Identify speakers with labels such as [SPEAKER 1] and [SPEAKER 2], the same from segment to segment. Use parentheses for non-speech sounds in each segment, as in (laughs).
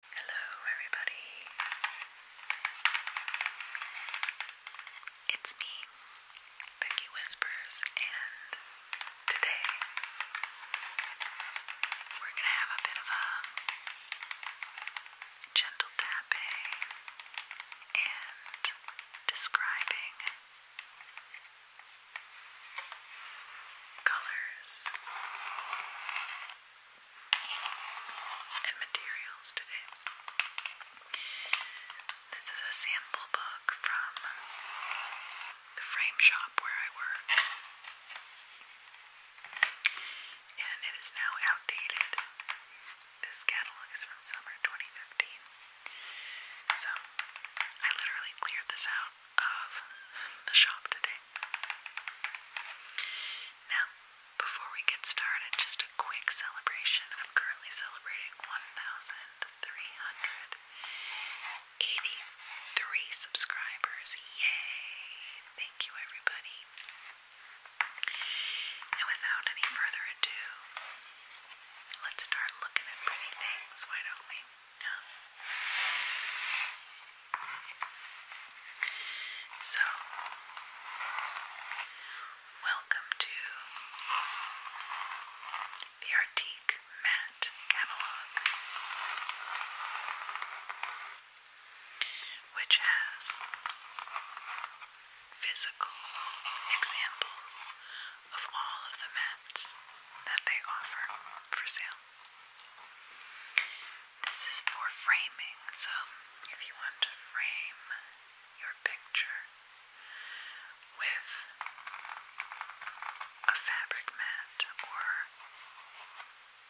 [SPEAKER 1] Hello, everybody. It's me, Becky Whispers, and today we're going to have a bit of a gentle tapping and describing colors and materials today. This is a sample book from the frame shop where I work. And it is now outdated. This catalog is from summer 2015. So I literally cleared this out of the shop today. Now, before we get started, just a quick celebration. I'm currently celebrating 1,383 subscribers. Yay! Thank you, everybody. And without any further ado, let's start looking at pretty things, why don't we? Huh? So, welcome to the Artique Matte Catalog, which has physical examples of all of the mats that they offer for sale. This is for framing, so if you want to frame your picture with a fabric mat or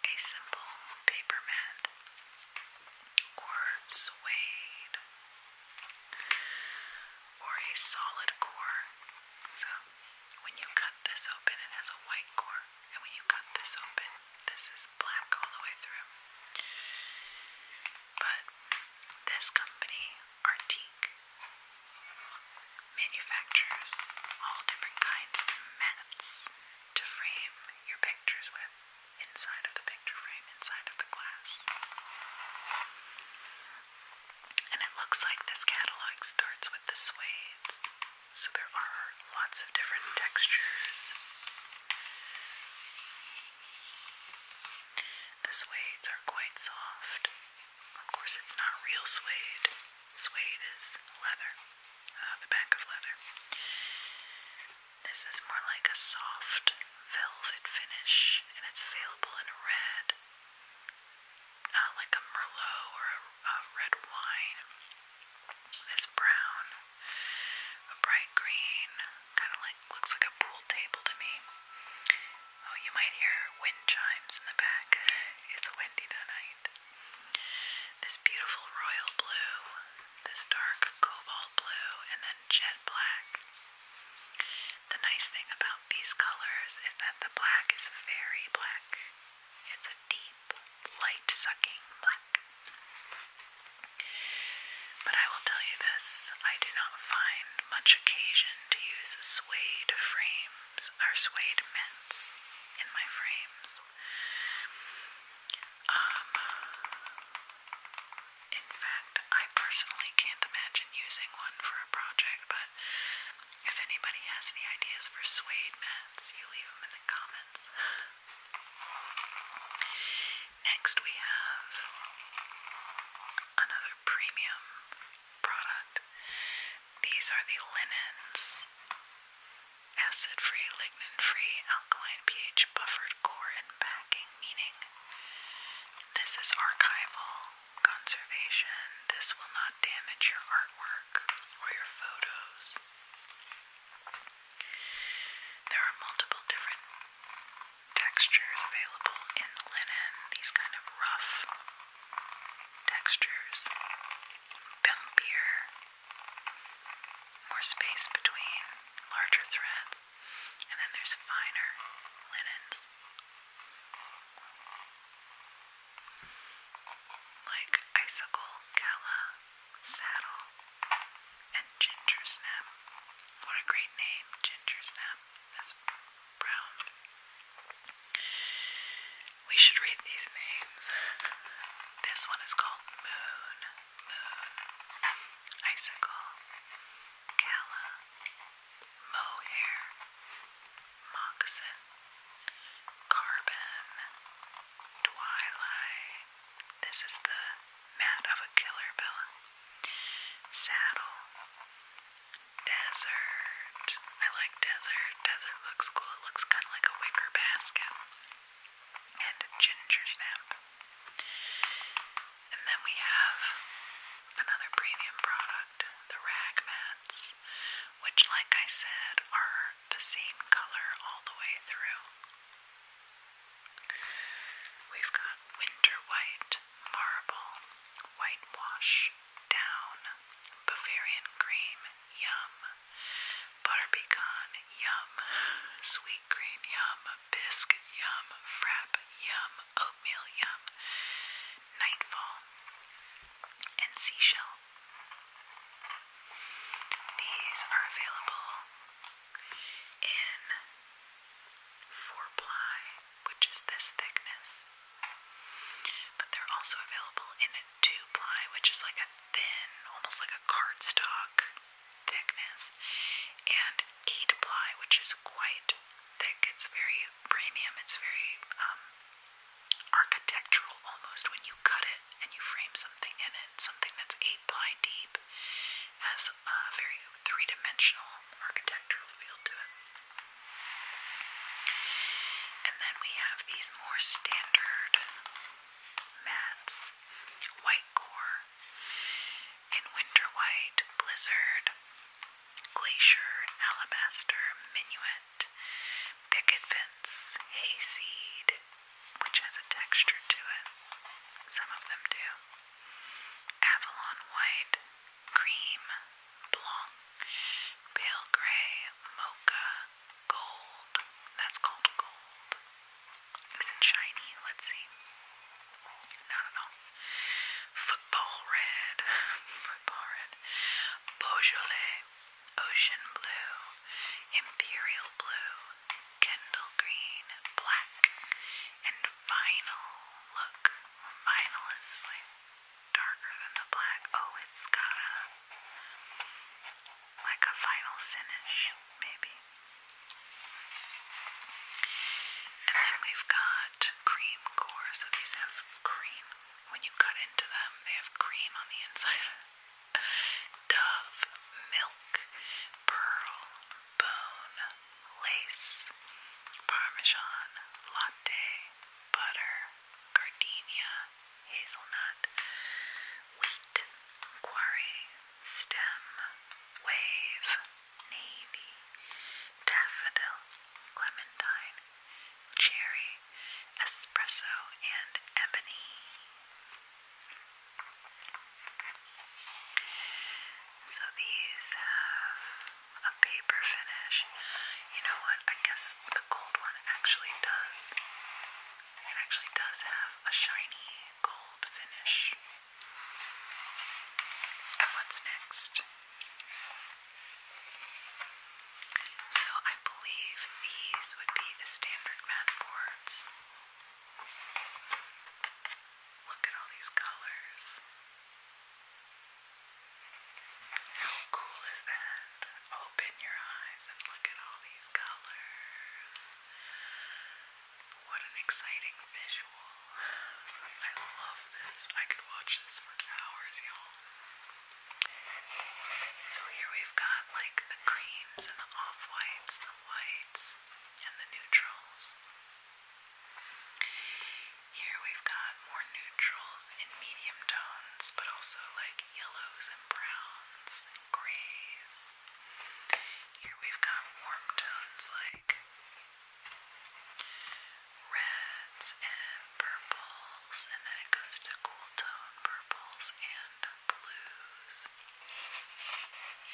[SPEAKER 1] a simple paper mat or suede or a solid core. So when you cut this open, it has a white core and when you cut this open, this is black all the way through. But this company, Artique, manufactures all different kinds of mats to frame your pictures with inside of the picture frame, inside of the glass. And it looks like this catalog starts with the suede so there are lots of different textures. The suedes are quite soft. Of course, it's not real suede. Suede is leather, uh, the back of leather. This is more like a soft velvet finish, and it's available in red, uh, like a Merlot or a red wine is brown, a bright green, kind of like looks like a pool table to me. Oh, you might hear wind chimes in the back. It's windy tonight. This beautiful royal blue, this dark cobalt blue, and then jet black. The nice thing about these colors is that the black is very black. It's a deep, light-sucking black. But I will tell you this, I do not find much occasion to use suede frames or suede mints in my frames. Um, in fact, I personally can't imagine using one for a project, but if anybody has any ideas for suede mint, Next, we have another premium product. These are the linens. Acid-free, lignin-free, alkaline pH, buffered core and backing, meaning this is archival conservation. This will not damage your artwork work or your photos. There are multiple different textures available in linen, these kind of rough textures, bumpier, more space between larger threads, and then there's finer linens like icicle, gala, saddle, and ginger snap. What a great name, ginger snap. That's brown. We should read these names. This one is called Moon, Moon, Icicle, Gala, Mohair, Moccasin, Carbon, Twilight. This is the mat of a killer, Bella. Saddle, Desert. I like desert. Desert looks cool. It looks kind of like a wicker basket. And ginger snap. And then we have another premium product, the rag mats, which, like I said, are the same color all the way through. We've got winter white, marble, whitewash, down, Bavarian cream, yum, butter pecan, yum, sweet cream, yum, bisque, yum, frap, yum, oatmeal, yum, nightfall, and seashell these are available in four ply, which is this thickness, but they're also available in a two ply, which is like a thin, almost like a cardstock thickness, and eight ply, which is quite thick. It's very premium. It's very um, architectural almost when you cut it and you frame something in it. Something that's eight ply deep has a very three dimensional architectural feel to it. And then we have these more standard mats, white core, in winter white, blizzard, glacier, alabaster, minuet, peppermint, picket fence, hayseed, which has a texture to it. Some of them do. Avalon white, cream, blanc, pale gray, mocha, gold. That's called gold. Is it shiny? Let's see. Not at all. Football red. (laughs) Football red. Beaujolais ocean blue, imperial blue, Kendall green, black, and vinyl. Look, vinyl is like darker than the black. Oh, it's got a like a vinyl finish, maybe. And then we've got cream core. So these have cream when you cut into them, they have cream on the inside. Dove, milk, pearl, bone, lace, parmesan, latte, butter, gardenia, hazelnut, wheat, quarry, stem, wave, navy, daffodil, clementine, cherry, espresso, and ebony. So these have a paper finish. You know what? I guess the gold one actually does. It actually does have a shiny gold finish. And what's next? So I believe these would be the standard matte boards. Look at all these colors. How cool is that? Open your eyes and look at all these colors. What an exciting visual. I love this. I could watch this for hours, y'all. So here we've got like the creams and the off whites, the whites, and the neutrals. Here we've got more neutrals in medium tones, but also like yellows and browns and grays. Here we've got warm tones like reds and purples, and then it goes to cool tone purples and blues.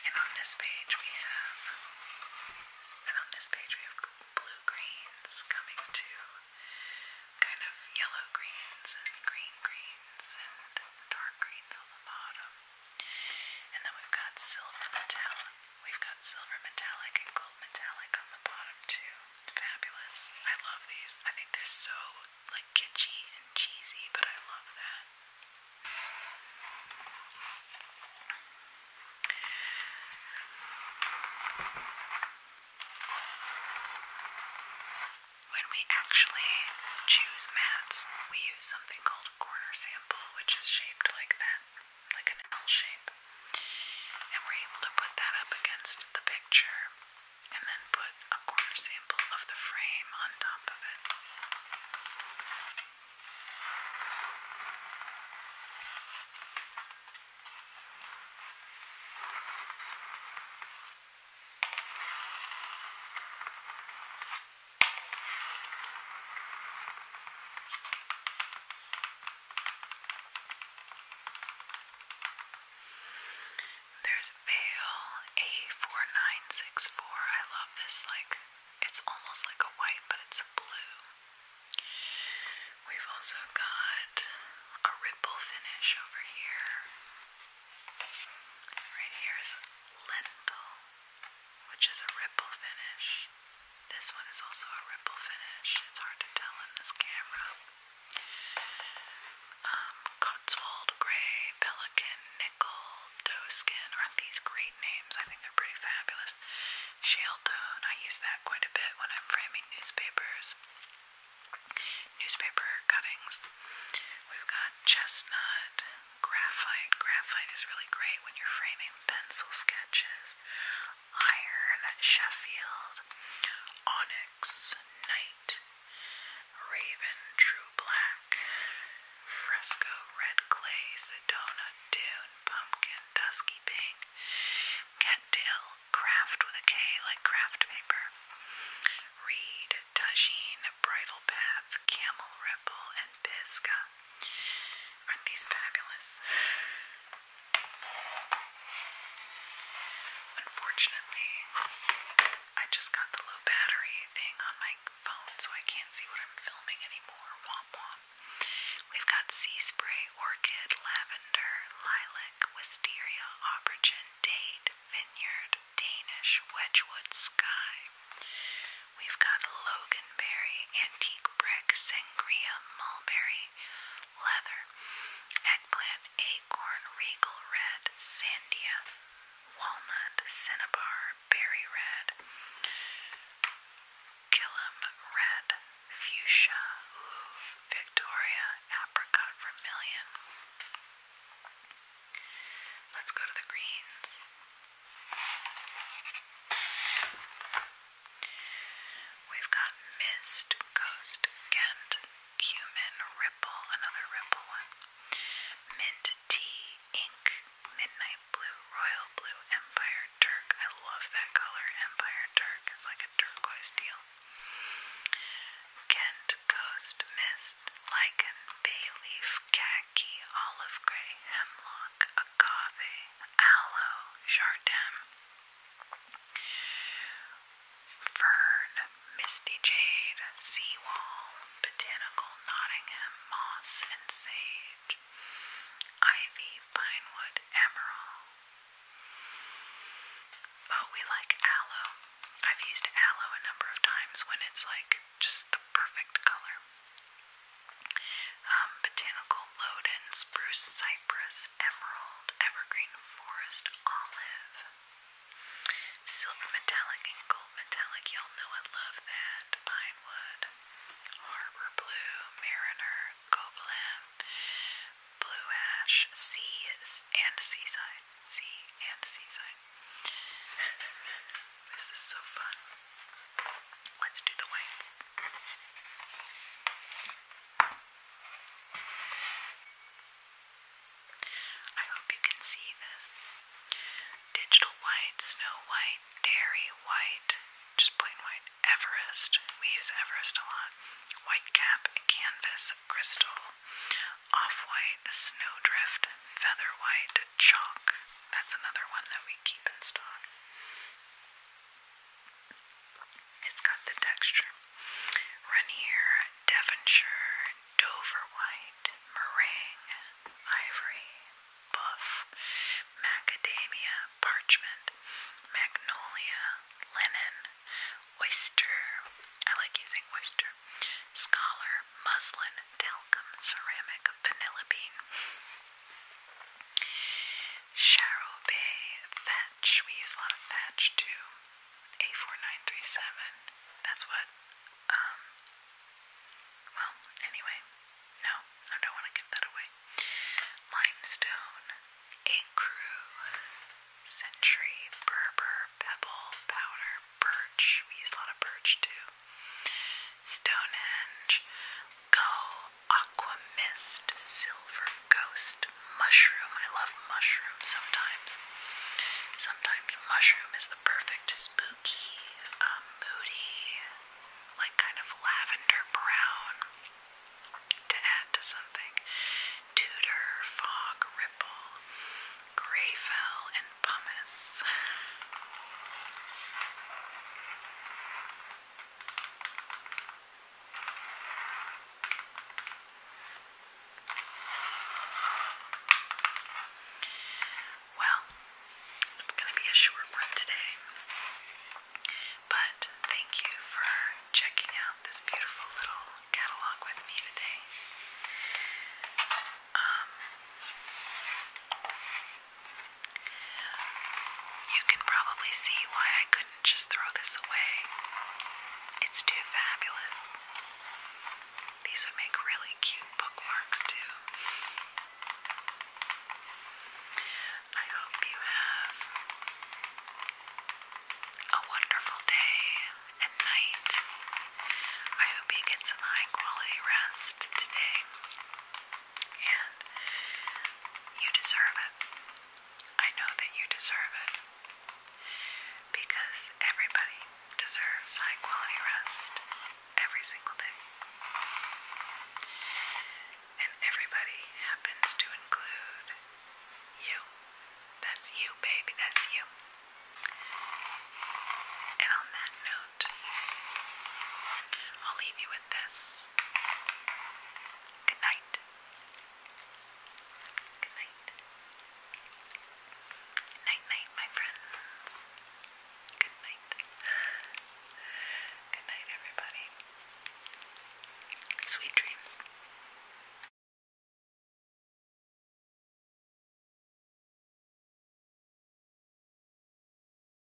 [SPEAKER 1] And on this page we have, and on this page we have blue greens coming to kind of yellow greens and green greens and dark greens on the bottom. And then we've got silver metallic. We've got silver metallic and gold metallic on the bottom too fabulous. I love these. I think they're so like kitschy and cheesy, but I love that. When we actually choose mats, we use something called a corner sample, which is shaped like that, like an L shape and we're able to put that up against the picture and then put a corner sample of the frame on top of it. There's Veil A4964. I love this, like, it's almost like a white, but it's blue. We've also got a ripple finish over here. Right here is Lentil, which is a ripple finish. This one is also a ripple finish. It's hard to tell in this camera. Um, Cotswold Grey, Pelican, Nickel, Doeskin are these great names. I think they're pretty fabulous. Shale tone, I use that quite a bit when I'm framing newspapers. Newspaper cuttings. We've got chestnut, graphite. Graphite is really great when you're framing pencil sketches. Iron, Sheffield, Onyx, Night Raven, True Black, Fresco, Red Clay, Sedona, Dune, Pumpkin, Dusky Pink, Cattail, Craft with a K like craft paper, Reed, Tajine, Bridal Path, Camel Ripple, and Pisca. Aren't these fabulous? Unfortunately, I just got the low battery thing on my phone, so I can't see what I'm filming anymore. Womp womp. We've got sea spray, orchid, lavender, lilac, wisteria, aubergine, date, vineyard, Danish, wedgewood, sky. We've got loganberry, antique brick, sangria, mulberry, leather, eggplant, acorn, regal red, sandia, walnut, cinnabar, berry red, gillum red, fuchsia, ooh, victoria, apricot, vermilion. Let's go to the greens. We've got Mist, Ghost, Ghent, Cumin, Ripple, another Ripple one, Mint Tea, Ink, Midnight Blue, Royal Blue, Empire dark. I love that color. Empire dark is like a turquoise teal. Kent, Ghost, Mist, Lichen, Bay Leaf, Khaki, Olive Grey, Hemlock, Agave, Aloe, Jardin, Fern, Misty Jade, Seawall, Botanical, Nottingham, Moss, and Sage, Ivy, Pinewood, Emerald. Oh, we like aloe. I've used aloe a number of times when it's like just the perfect color. Um, botanical lowden, spruce, cypress, emerald, evergreen, forest, olive. Silver metallic and gold metallic, y'all know I love that. Pinewood, harbor blue, mariner, cobalt, blue ash, sea and seaside. Sea and seaside. (laughs) this is so fun. Let's do the whites. I hope you can see this. Digital white, snow white, dairy white, just plain white, Everest. We use Everest a lot. White cap, canvas, crystal, off white, snowdrift, feather white, chalk. That's another one that we keep in stock. It's got the texture. Rainier, Devonshire, Dover White, Meringue, Ivory, Buff, Macadamia, Parchment, Magnolia, Linen, Oyster. I like using oyster. Scholar, Muslin, Talcum, Ceramic, Vanilla Bean. Charobay, Fat we use a lot of thatch too. A4937. That's what, um, well, anyway, no, I don't want to give that away. Limestone, Acru, Century, Berber, Pebble, Powder, Birch. We use a lot of birch too. Stonehenge, Go, Aquamist, silver ghost, mushroom. I love mushroom sometimes. Sometimes mushroom is the perfect spooky, um, moody, like kind of lavender brown to add to something. Tudor, fog, ripple, greyfell, and pumice. Well, it's going to be a short one today, but thank you for checking out this beautiful little catalog with me today. Um, you can probably see why I could could just throw this away. It's too fabulous. These would make really cute bookmarks, too. I hope you have a wonderful day and night. I hope you get some high quality rest today. And you deserve it. I know that you deserve it because everybody deserves high quality rest every single day. And everybody happens to include you. That's you, baby, that's you. And on that note, I'll leave you with this. Good night. Good night. Night, night, my friends. Good night. Good night, everybody. Sweet dreams.